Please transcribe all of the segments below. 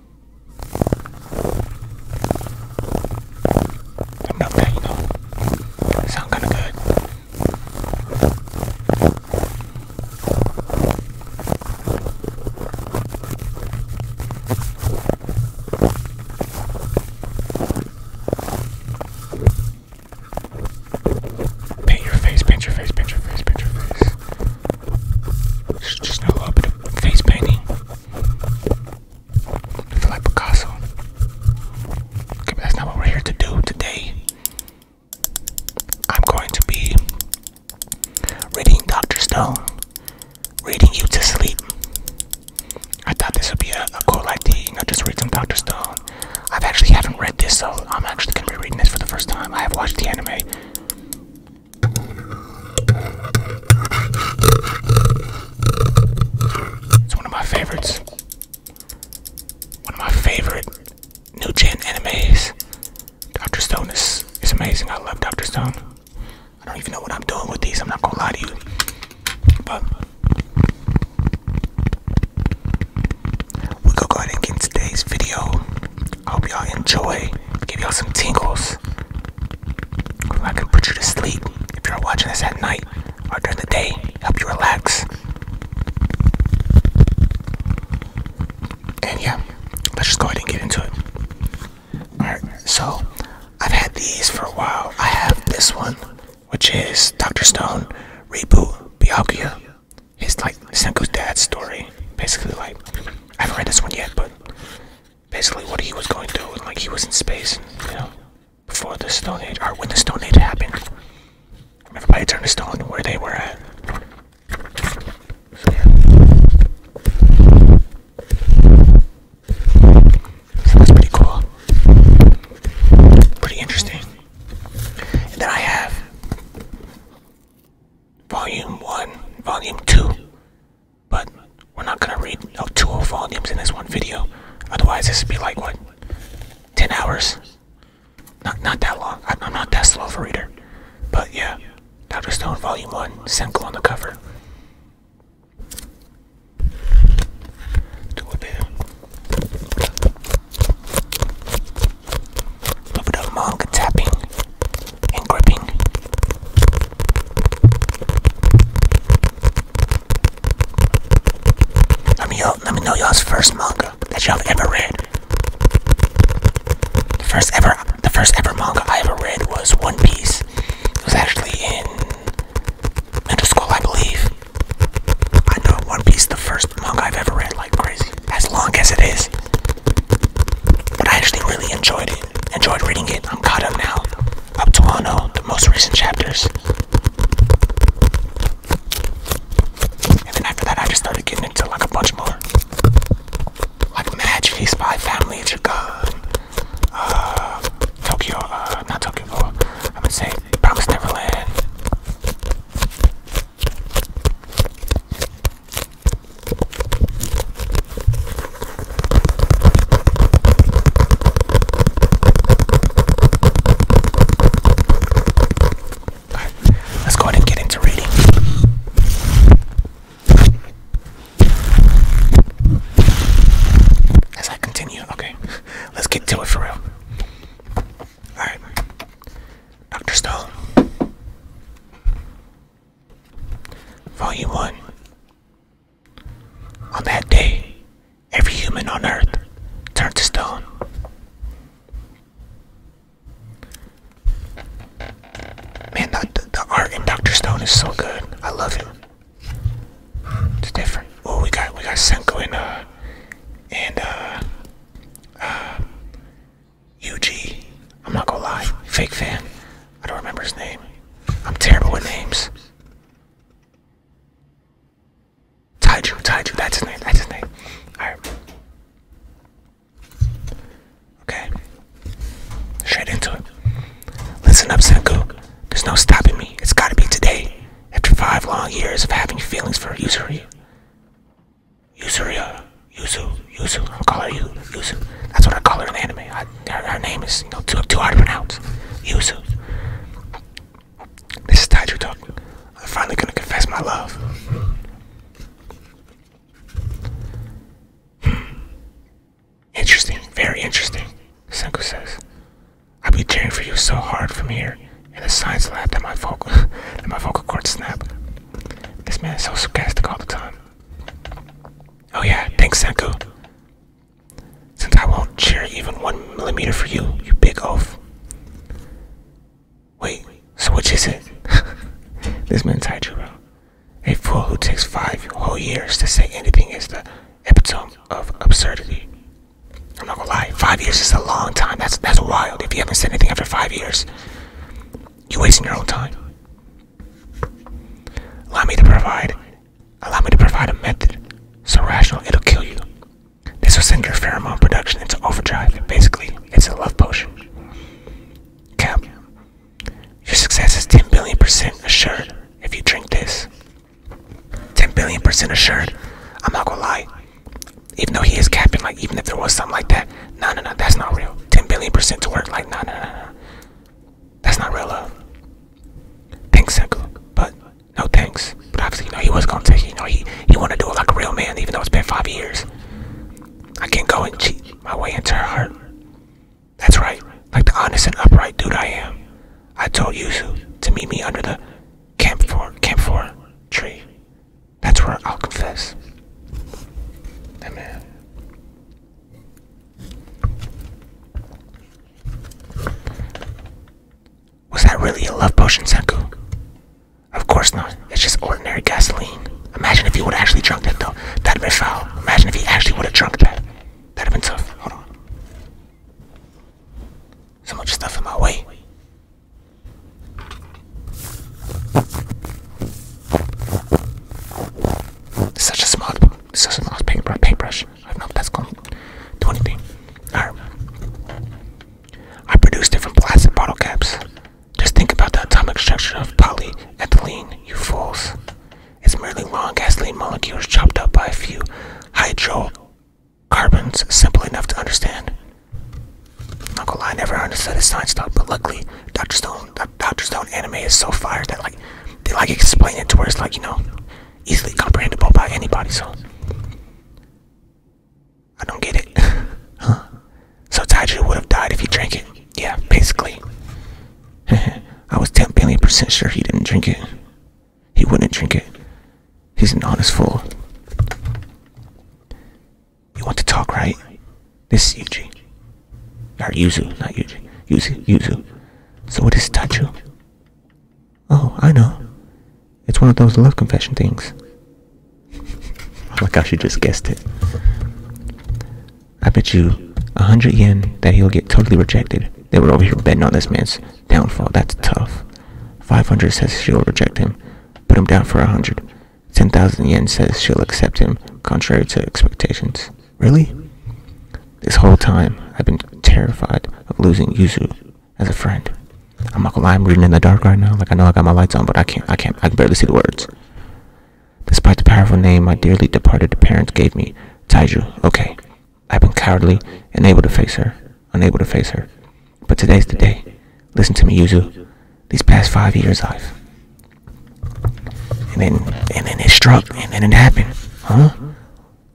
I'm not bad, you know. kind of good. Paint your face, paint your face, paint your face, paint your face. just a little bit of face painting like Picasso. Okay, that's not what we're here to do today. I'm going to be reading Dr. Stone, reading you to sleep. I thought this would be a, a cool idea, you know, just read some Dr. Stone. I've actually haven't read this, so I'm actually gonna be reading this for the first time. I have watched the anime. It's one of my favorites. One of my favorite new gen animes. Dr. Stone is, is amazing. I love Dr. Stone. I don't even know what I'm doing with these. I'm not gonna lie to you. But we go go ahead and get today's video. I hope y'all enjoy. Give y'all some tingles. I can put you to sleep if you're watching this at night or during the day, help you relax. And yeah, let's just go ahead and get into it. Alright, so I've had these for a while. I have this one, which is Dr. Stone Reboot Byakuya. It's like Senku's dad's story, basically. Like, I haven't read this one yet, but basically what he was going through, like he was in space, you know, before the Stone Age, or when the Stone Age happened. Everybody turned to stone where they were at. So, yeah. so pretty cool. Pretty interesting. And then I have Volume 1, Volume 2. But we're not gonna read you two volumes in this one video. Otherwise, this would be like what, ten hours? Not not that long. I, am not that slow of a reader. But yeah, Doctor Stone Volume One, Senko on the cover. Do a bit, a little manga tapping and gripping. Let me let me know y'all's first manga that y'all ever read. The first ever the first ever manga I ever read was One Piece. It was actually in middle school, I believe. I know One Piece the first manga I've ever read like crazy. As long as it is. But I actually really enjoyed it. Enjoyed reading it. I'm caught up now. Up to Ano, the most recent chapters. And then after that, I just started getting into like a bunch more. Like Match, Feast Family, it's uh, Tokyo, uh, not Tokyo, I'm gonna say Neverland. Alright, let's go ahead and get into reading. As I continue, okay, let's get to it for real. Alright, Dr. Stone, Volume 1 on that day, every human on earth turned to stone. Man, the, art in Dr. Stone is so good. I love him. It's different. Oh, we got we got Senko and uh and uh UG. Uh, I'm not gonna lie, fake fan. I don't remember his name. I'm terrible with names. Taiju, Taiju, that's his name, that's his name. Alright. Okay. Straight into it. Listen up, Senku. There's no stopping me. It's gotta be today. After five long years of having feelings for Usuri, Usuri, Yuzu, Yuzu, i call her you, Yuzu. That's what I call her in the anime her, name is, you too, hard to pronounce. Yusuf. This is Taiju Talk. I'm finally gonna confess my love. Hmm. Interesting, very interesting, Senku says. I've been cheering for you so hard from here And the signs lab at my vocal that my vocal cords snap. This man is so sarcastic all the time. Oh yeah, thanks Senku. Since I won't cheer even one millimeter for you, you big oaf. Wait, so what you it? this man's Haijuro. A fool who takes five whole years to say anything is the epitome of absurdity. I'm not gonna lie, five years is a long time. That's that's wild if you haven't said anything after five years. You're wasting your own time. Allow me to provide. Allow me to provide a method so rational it'll kill you. This will send your pheromone production into overdrive. Basically, it's a love potion. Cap. Your success is 10 billion percent assured if you drink this. 10 billion percent assured. I'm not gonna lie. Even though he is capping, like, even if there was something like that, no, no, no, that's not real. 10 billion percent to work, like, no, no, no, no. That's not real love. Thanks, Senku, but no thanks. But obviously, you know, he was gonna take it. You know, he he wanted to do it like a real man, even though it's been five years. I can't go and cheat my way into her heart. That's right, like the honest and upright dude I am. I told Yuzu to meet me under the camphor camphor tree. That's where I'll confess. That man. Was that really a love potion, Senku? Of course not. It's just ordinary gasoline. Imagine if he would actually drunk that though. That'd been foul. Imagine if he actually would have drunk that. That'd have been tough. Hold on. So much stuff in my way. Such a smart up. This is paintbrush. I don't know if that's going to do anything. Alright. I produce different plastic bottle caps. Just think about the atomic structure of polyethylene, you fools. It's merely long gasoline molecules chopped up by a few hydrocarbons, simple enough to understand. i not gonna lie, I never understood his science stuff, but luckily, Dr. Stone Doctor Stone anime is so fire that like they like explain it to where it's like you know easily comprehensible by anybody. So I don't get it. huh. So Taiju would have died if he drank it. Yeah, basically. I was 10 billion percent sure he didn't drink it. He wouldn't drink it. He's an honest fool. You want to talk, right? This is Yuji. Or Yuzu, not Yuji. Yuzu, Yuzu. So what is Tachu? Oh, I know. It's one of those love confession things. I like how she just guessed it. I bet you a hundred yen that he'll get totally rejected. They were over here betting on this man's downfall. That's tough. 500 says she'll reject him. Put him down for a hundred. 10,000 yen says she'll accept him, contrary to expectations. Really? This whole time, I've been terrified of losing Yuzu as a friend. I'm not gonna lie, I'm reading in the dark right now. Like I know I got my lights on, but I can't. I can't. I can barely see the words. Despite the powerful name my dearly departed parents gave me, Taiju. Okay, I've been cowardly, unable to face her, unable to face her. But today's the day. Listen to me, Yuzu. These past five years, I've and then, and then it struck, and then it happened. Huh?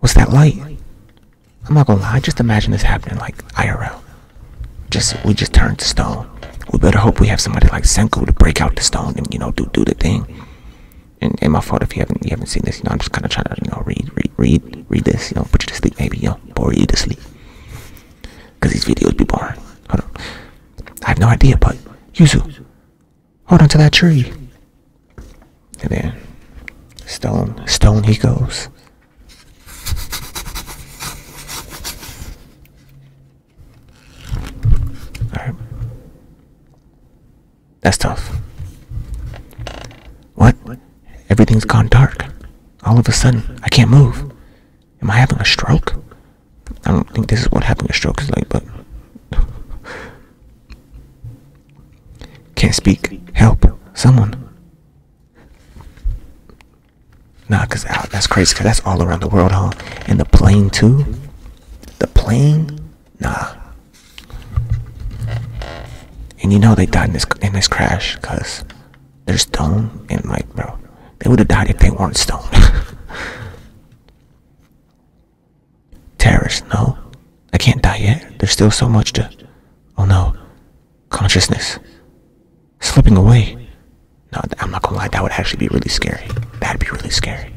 What's that light? I'm not gonna lie, just imagine this happening like IRL. Just, we just turned to stone. We better hope we have somebody like Senku to break out the stone and, you know, do do the thing. And, and my fault if you haven't you haven't seen this, you know, I'm just kind of trying to, you know, read, read, read, read this, you know, put you to sleep maybe, you know, bore you to sleep. Because these videos be boring. I have no idea, but Yuzu, Hold on to that tree. And then, stone, stone he goes. Alright. That's tough. What? Everything's gone dark. All of a sudden, I can't move. Am I having a stroke? I don't think this is what happened. a stroke is like, but can't speak. Help someone. Nah, cause out. That's crazy. Cause that's all around the world, huh? And the plane too. The plane? Nah. And you know they died in this in this crash, cause they're stone and like, bro, they would have died if they weren't Stone. Terrorist, no. I can't die yet. There's still so much to. Oh no. Consciousness. Slipping away. No, I'm not gonna lie. That would actually be really scary. That'd be really scary.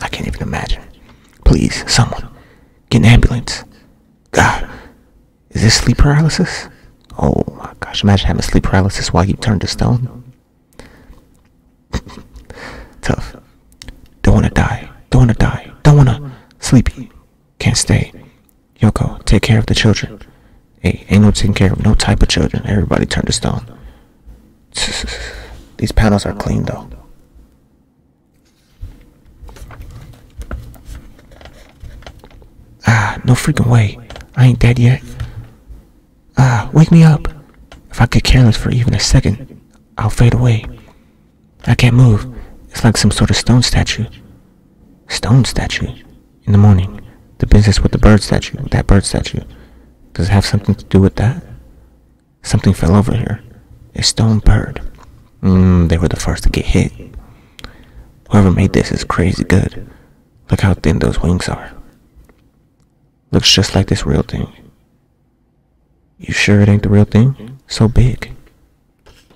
I can't even imagine. Please, someone. Get an ambulance. God. Is this sleep paralysis? Oh my gosh. Imagine having sleep paralysis while you turn to stone. Tough. Don't wanna die. Don't wanna die. Don't wanna. Sleepy. Can't stay. Yoko, take care of the children. Hey, ain't no taking care of no type of children. Everybody turned to stone. These panels are clean though. Ah, no freaking way. I ain't dead yet. Ah, wake me up. If I get careless for even a second, I'll fade away. I can't move. It's like some sort of stone statue. Stone statue? In the morning. The business with the bird statue, that bird statue. Does it have something to do with that? Something fell over here. A stone bird. Mmm, they were the first to get hit. Whoever made this is crazy good. Look how thin those wings are. Looks just like this real thing. You sure it ain't the real thing? So big.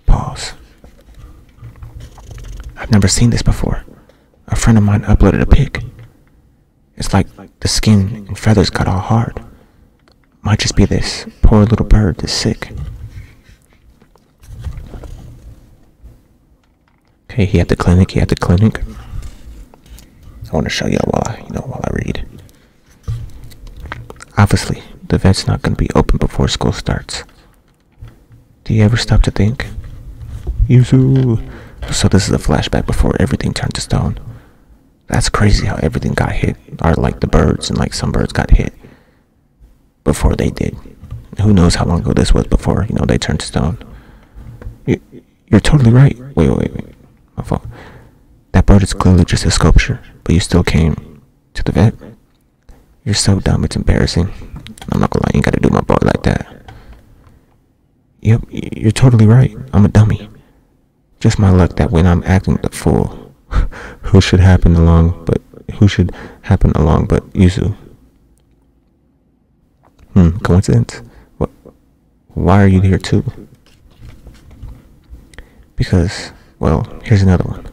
Pause. I've never seen this before. A friend of mine uploaded a pic. It's like the skin and feathers got all hard. Might just be this poor little bird that's sick. Okay, he at the clinic, he at the clinic. I want to show y'all while I, you know, while I read. Obviously, the vet's not going to be open before school starts. Do you ever stop to think? You Yuzu! So this is a flashback before everything turned to stone. That's crazy how everything got hit, or like the birds, and like some birds got hit before they did. Who knows how long ago this was before, you know, they turned to stone. You, you're totally right. Wait, wait, wait. My fault. That bird is clearly just a sculpture, but you still came to the vet? You're so dumb, it's embarrassing. I'm not gonna lie, you gotta do my bird like that. Yep, you're totally right. I'm a dummy. Just my luck that when I'm acting the fool, who should happen along but who should happen along but Yuzu. Hmm, coincidence? What? Why are you here too? Because, well, here's another one.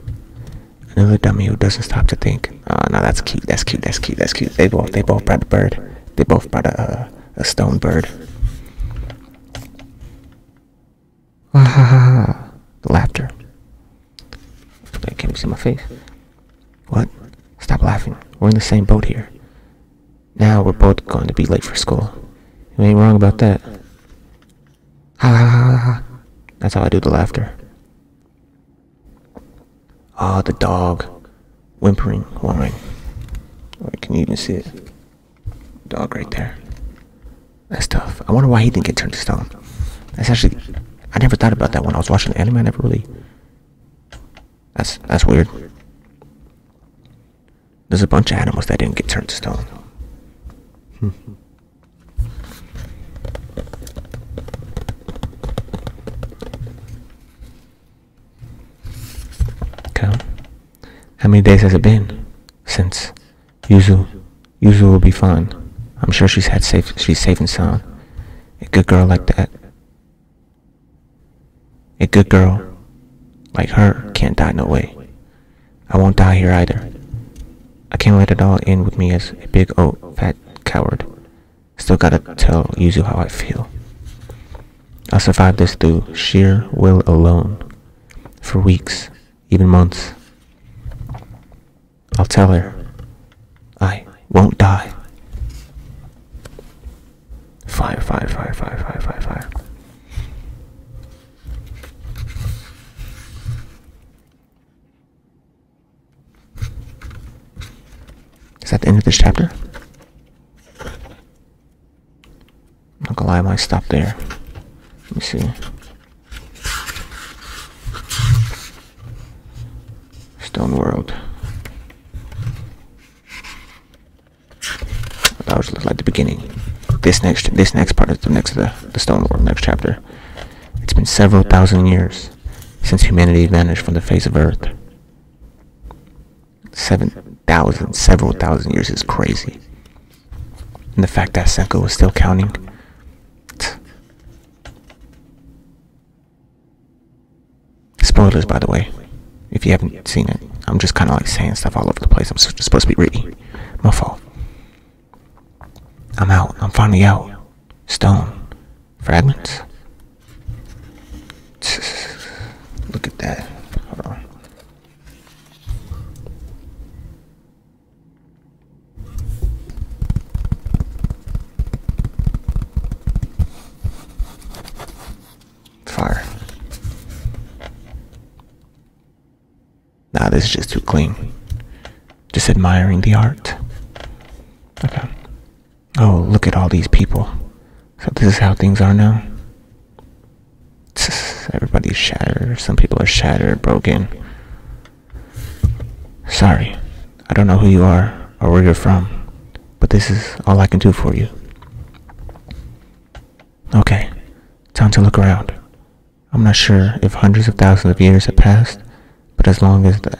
Another dummy who doesn't stop to think. Ah, oh, no, that's cute. That's cute. That's cute. That's cute. They both, they both brought a bird. They both brought a, a stone bird. Ah, The laughter. Wait, can you see my face? What? Stop laughing. We're in the same boat here. Now we're both going to be late for school. You ain't wrong about that. Ha That's how I do the laughter. Ah, the dog. Whimpering, whining. Right, can you even see it? Dog right there. That's tough. I wonder why he didn't get turned to stone. That's actually... I never thought about that when I was watching the anime. I never really that's that's weird. There's a bunch of animals that didn't get turned to stone. Hmm. How many days has it been since Yuzu? Yuzu will be fine. I'm sure she's had safe. She's safe and sound. A good girl like that a good girl like her can't die no way. I won't die here either. I can't let it all end with me as a big old fat coward. Still gotta tell Yuzu how I feel. I survived this through sheer will alone. For weeks, even months. I'll tell her. I won't die. Fire, Is that the end of this chapter? I'm gonna lie, I might stop there. Let me see. Stone World. That was like the beginning. This next, this next part is the next the the stone world, next chapter. It's been several thousand years since humanity vanished from the face of Earth. Seven thousand, several thousand years is crazy. And the fact that Senko was still counting. Spoilers, by the way, if you haven't seen it. I'm just kind of like saying stuff all over the place. I'm supposed to be reading. My fault. I'm out. I'm finally out. Stone. Fragments. Look at that. Hold on. Fire. Nah, this is just too clean. Just admiring the art. Okay. Oh, look at all these people. So this is how things are now. Everybody's shattered. Some people are shattered, broken. Sorry. I don't know who you are or where you're from, but this is all I can do for you. Okay, time to look around. I'm not sure if hundreds of thousands of years have passed, but as long as the,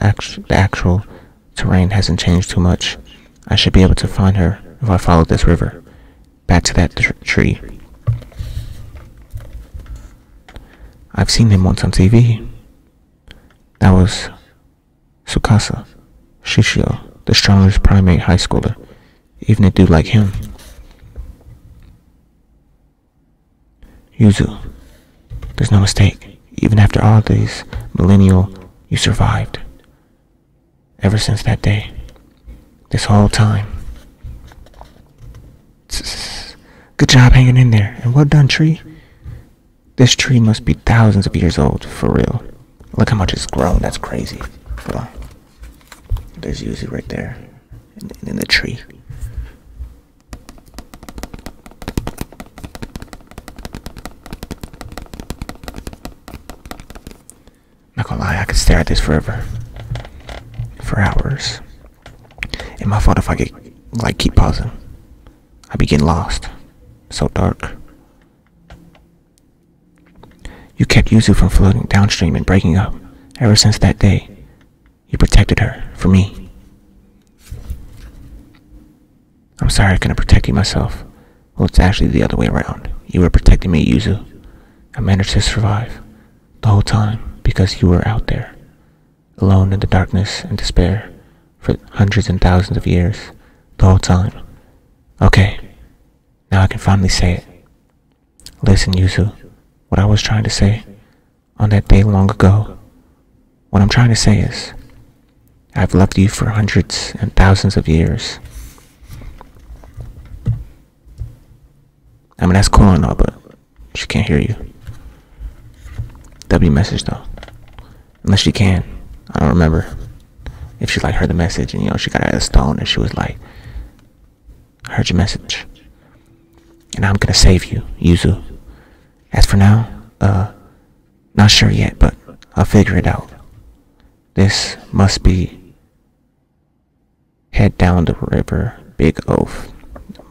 actual terrain hasn't changed too much, I should be able to find her if I follow this river back to that tree. I've seen him once on TV. That was Sukasa, Shishio, the strongest primate high schooler, even a dude like him. Yuzu, there's no mistake. Even after all these millennial, you survived. Ever since that day, this whole time. Good job hanging in there, and well done, Tree. This tree must be thousands of years old, for real. Look how much it's grown, that's crazy. there's Yuzu right there, in, the tree. i not gonna lie, I could stare at this forever. For hours. It' my fault if I get, like, keep pausing. I begin lost. So dark. You kept Yuzu from floating downstream and breaking up. Ever since that day, you protected her from me. I'm sorry I couldn't protect you myself. Well, it's actually the other way around. You were protecting me, Yuzu. I managed to survive the whole time because you were out there, alone in the darkness and despair, for hundreds and thousands of years, the whole time. Okay, now I can finally say it. Listen, Yuzu, what I was trying to say on that day long ago, what I'm trying to say is, I've loved you for hundreds and thousands of years. I mean, that's cool and all, but she can't hear you. That'd be message, though. Unless you can. I don't remember. If she like heard the message and you know she got out of stone and she was like heard your message. And I'm gonna save you, Yuzu. As for now, uh not sure yet, but I'll figure it out. This must be head down the river, big oath.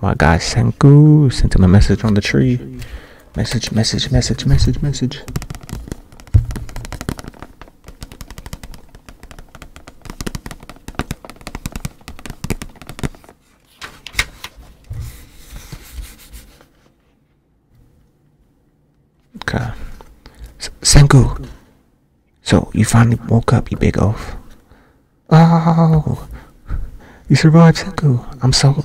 My guy Senku sent him a message on the tree. Message, message, message, message, message. Okay. S So, you finally woke up, you big oaf. Oh! You survived, Sengu! I'm so...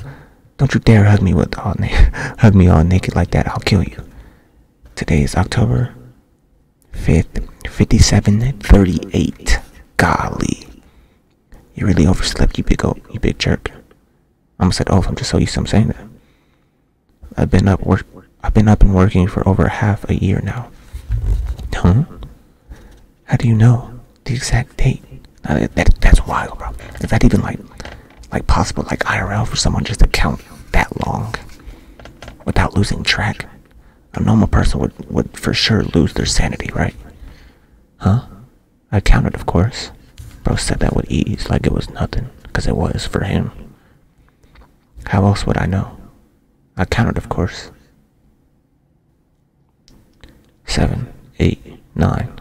Don't you dare hug me with all hug me all naked like that. I'll kill you. Today is October 5th, 5738. Golly. You really overslept, you big old, you big jerk. I almost said, oh, I'm just so used to him saying that. I've been up I've been up and working for over half a year now. Huh? How do you know? the exact date. that, that's wild, bro. Is that even like, like possible, like IRL for someone just to count that long without losing track? A normal person would would for sure lose their sanity, right? Huh? I counted, of course. Bro said that with ease, like it was nothing, because it was for him. How else would I know? I counted, of course. Seven, eight, nine.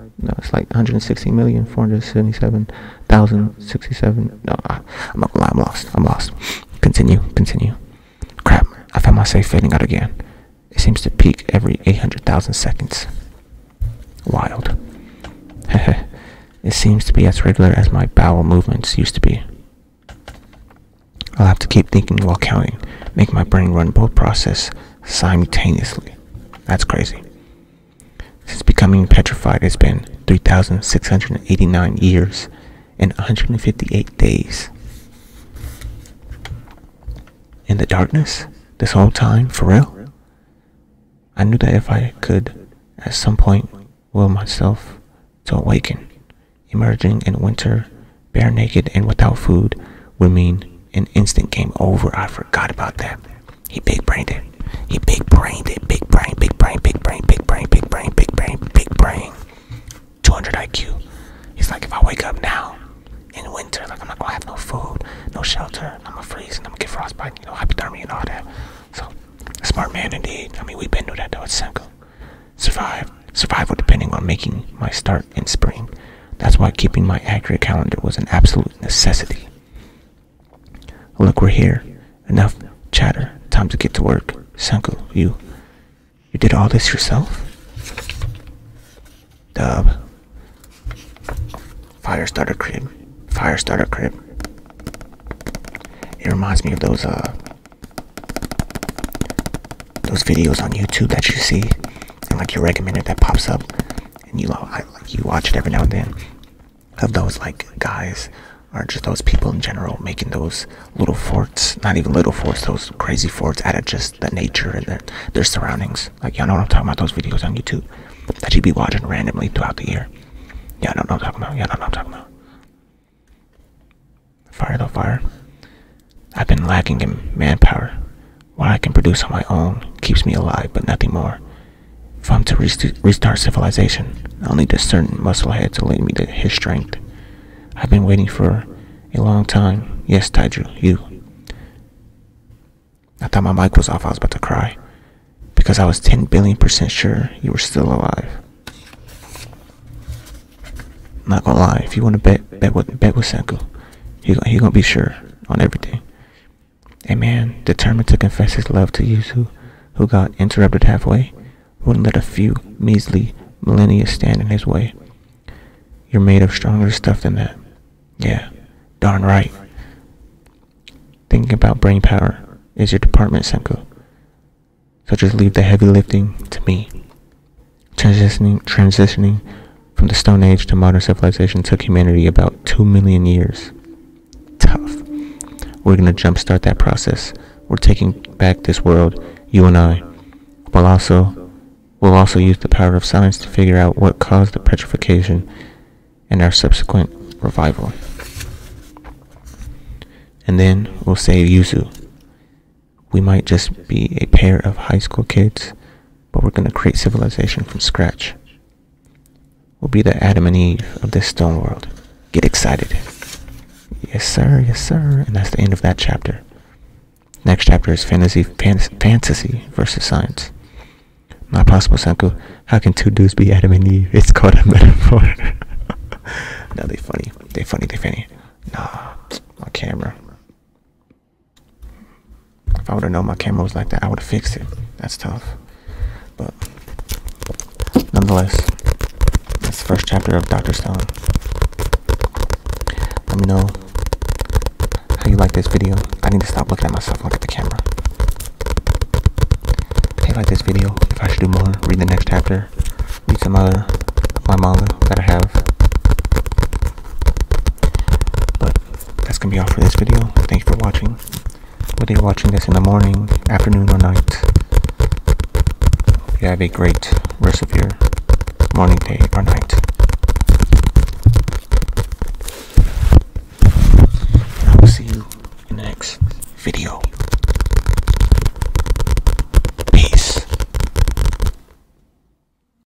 No, it's like 160,477,067. No, I, I'm not gonna lie, I'm lost. I'm lost. Continue, continue. Crap, I found myself fading out again. It seems to peak every 800,000 seconds. Wild. it seems to be as regular as my bowel movements used to be. I'll have to keep thinking while counting, make my brain run both processes simultaneously. That's crazy. Since becoming petrified, it's been 3,689 years and 158 days. In the darkness, this whole time, for real? I knew that if I could, at some point, will myself to awaken, emerging in winter, bare naked and without food, would mean an instant game over. I forgot about that. He big brained it. He big brained it. Big brain, big brain, big brain, big brain, big brain, big brain, big brain. 200 IQ. He's like, if I wake up now in winter, like I'm not gonna have no food, no shelter, I'm gonna freeze and I'm gonna get frostbite, you know, hypothermia and all that. So, smart man indeed. I mean, we've been through that though at Senko. Survive. Survival depending on making my start in spring. That's why keeping my accurate calendar was an absolute necessity. Look, we're here. Enough chatter. Time to get to work. Senku, you. You did all this yourself? Dub. Fire starter crib. Fire starter crib. It reminds me of those, uh, those videos on YouTube that you see and like your recommended that pops up and you I, you watch it every now and then of those like guys or just those people in general making those little forts not even little forts those crazy forts out of just the nature and their, their surroundings like y'all know what i'm talking about those videos on youtube that you be watching randomly throughout the year Y'all know what i'm talking about yeah i know what i'm talking about fire though fire i've been lacking in manpower what I can produce on my own keeps me alive, but nothing more. If I'm to restart civilization, I'll need a certain musclehead to lend me the, his strength. I've been waiting for a long time. Yes, Taiju, you. I thought my mic was off. I was about to cry. Because I was 10 billion percent sure you were still alive. Not gonna lie, if you wanna bet, bet with, bet with Senku. He he gonna be sure on everything. A man determined to confess his love to you, who got interrupted halfway, wouldn't let a few measly millennia stand in his way. You're made of stronger stuff than that. Yeah, darn right. Thinking about brain power is your department, Senko. So just leave the heavy lifting to me. Transitioning, transitioning from the Stone Age to modern civilization took humanity about 2 million years. Tough. We're going to jumpstart that process. We're taking back this world, you and I. we also, we'll also use the power of science to figure out what caused the petrification and our subsequent revival. And then we'll save Yuzu. We might just be a pair of high school kids but we're going to create civilization from scratch. We'll be the Adam and Eve of this stone world. Get excited. Yes, sir. Yes, sir. And that's the end of that chapter. Next chapter is fantasy, fantasy versus science. My possible, Sanku. How can two dudes be Adam and Eve? It's called a metaphor. now they funny. They funny. They funny. Nah, on camera. If I would have known my camera was like that, I would have fixed it. That's tough. But nonetheless, that's the first chapter of Dr. Stone. Let me know how you like this video. I need to stop looking at myself and look at the camera. If you like this video, if I should do more, read the next chapter, read some other my manga that I have. But that's gonna be all for this video thank you for watching whether you're watching this in the morning afternoon or night you have a great rest of your morning day or night see you next video peace